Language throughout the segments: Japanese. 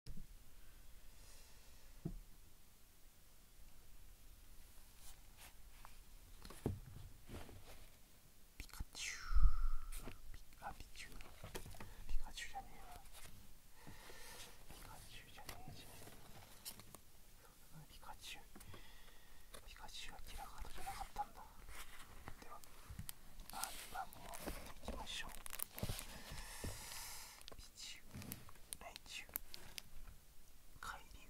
ピカチュウあピチュウピカチュウじゃねえわピカチュウじゃねえじゃんピカチュウピカチュウはキラカーなかったんだではあれはもうきましょうチュウライチュウ海流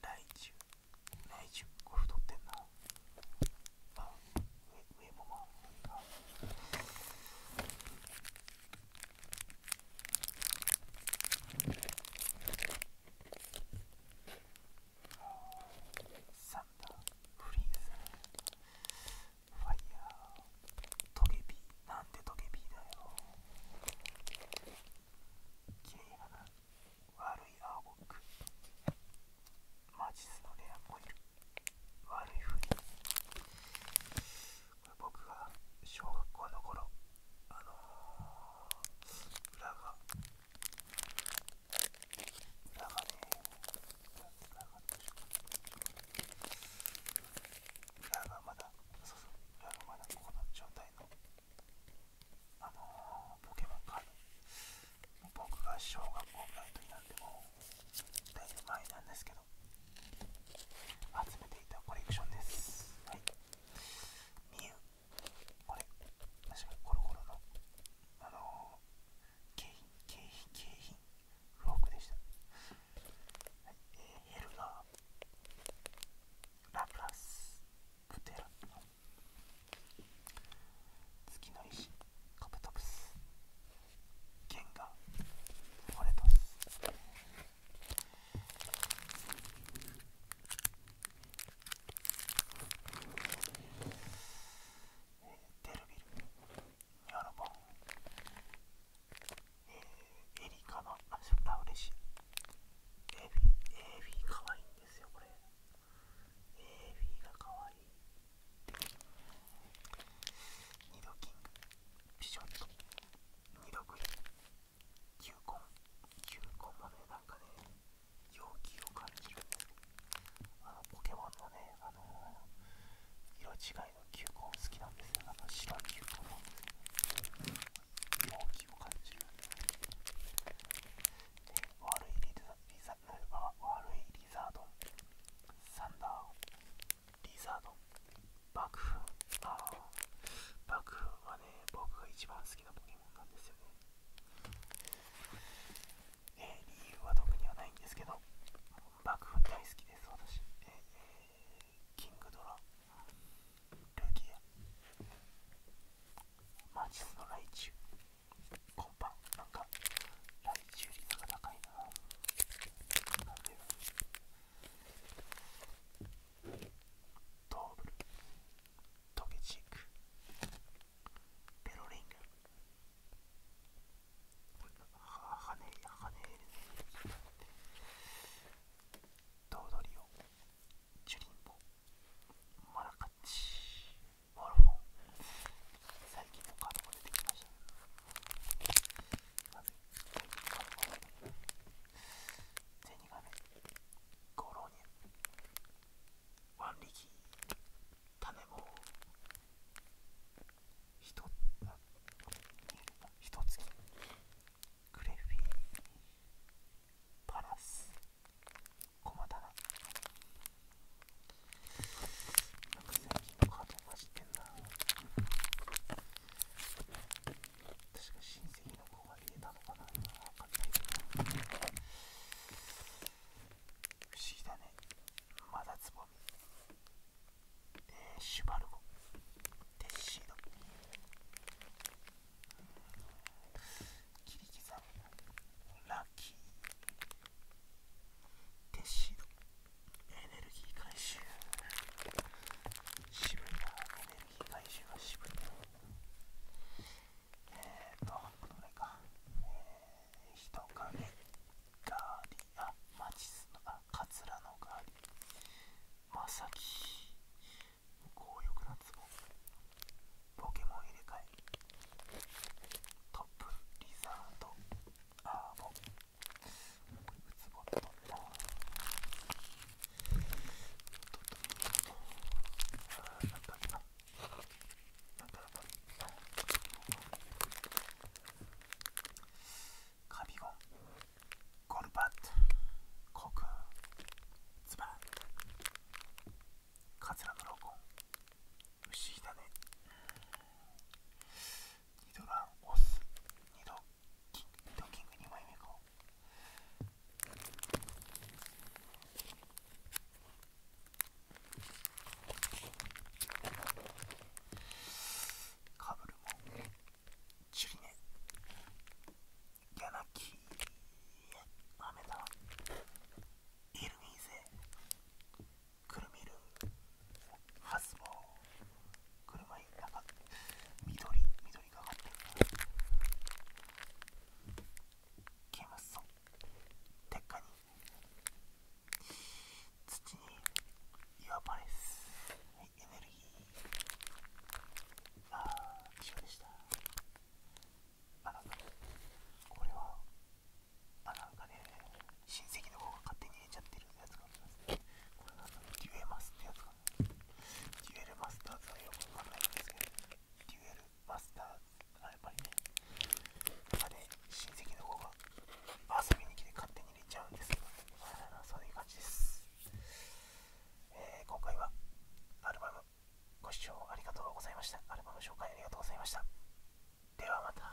ライチュウライチュウこれ太ってんなあ上上もまあサンダーフリーズファイヤートゲピーなんでトゲピーだよ綺麗やな悪い青ボックマジスのレアコイル悪いふりこれ僕が小学校の頃あの裏が裏がね裏がどうしよう裏がまだそうそう裏がまだこの状態のあのポケモンカード僕が小学校ぐらいの時なってもうだいぶ前なんですけど集めていたコレクションですはいミュウこれ確かにコロコロのあの景品景品景品フォークでした、はいえー、ヘルガーラプラスプテラ月の石カブトプスゲンガフォレトスえー、デルビル、ニャノボン、エリカのシそれラウレシア。エビ、エビかわいいんですよ、これ。エビがかわいい。で、ニドキング、ピショット、ニ度グリ、球根、球根もね、なんかね、陽気を感じるあのポケモンのね、あの色違いの球根好きなんですよあの白球根なんです気を感じるで悪いリザリザ悪いリザードサンダーリザード爆風ああ爆風はね僕が一番好きなポケモンなんえー、理由は特にはないんですけど幕府大好きです私、えー、キングドラルギアマチスのライチュウコンパンなんかライチュウ率が高いななんでドーブルトゲチークペロリングハネ羽ハネるドウドリオジュリンボマラカッチモルフォン最近のカードが出てきましたカードゼニガメゴロニャワンリキ種もひとひとつきクレフィパラス駒棚なんセン近のカードマジってんだ。確か親戚の子が入れたのかな今かんないけど不思議だねまだつぼみえー、シュバルゴデッシード切り刻むラッキーデッシードエネルギー回収渋いなエネルギー回収は渋いなえっと、このぐらいか。えー、人影、ガーリー、あ、マチスの、あ、カツラのガーリー、まさき、強欲なツボ、ポケモン入れ替え、トップ、リザード、アーボ、ウツボと、カビゴンゴルバットコクツバカツラブロコン牛だねニドランオスニドドッキング2枚目かかぶるもチュリネヤナキアメダイルミーゼクルミルハスボー車になんか緑緑がかがってる消えますぞ鉄火に土に岩パレス、はい、エネルギーああ一緒でしたあなんかこれはあなんかね親戚の方が勝手に入れちゃってるやつがありますねこれなんだデュエマスってやつがデュエルマスターズはよくわかんないんですけど、デュエルマスターズはやっぱりね、あれ、親戚の方が遊びに来て勝手に入れちゃうんですけど、そういう感じです。え今回はアルバムご視聴ありがとうございました。アルバム紹介ありがとうございました。ではまた。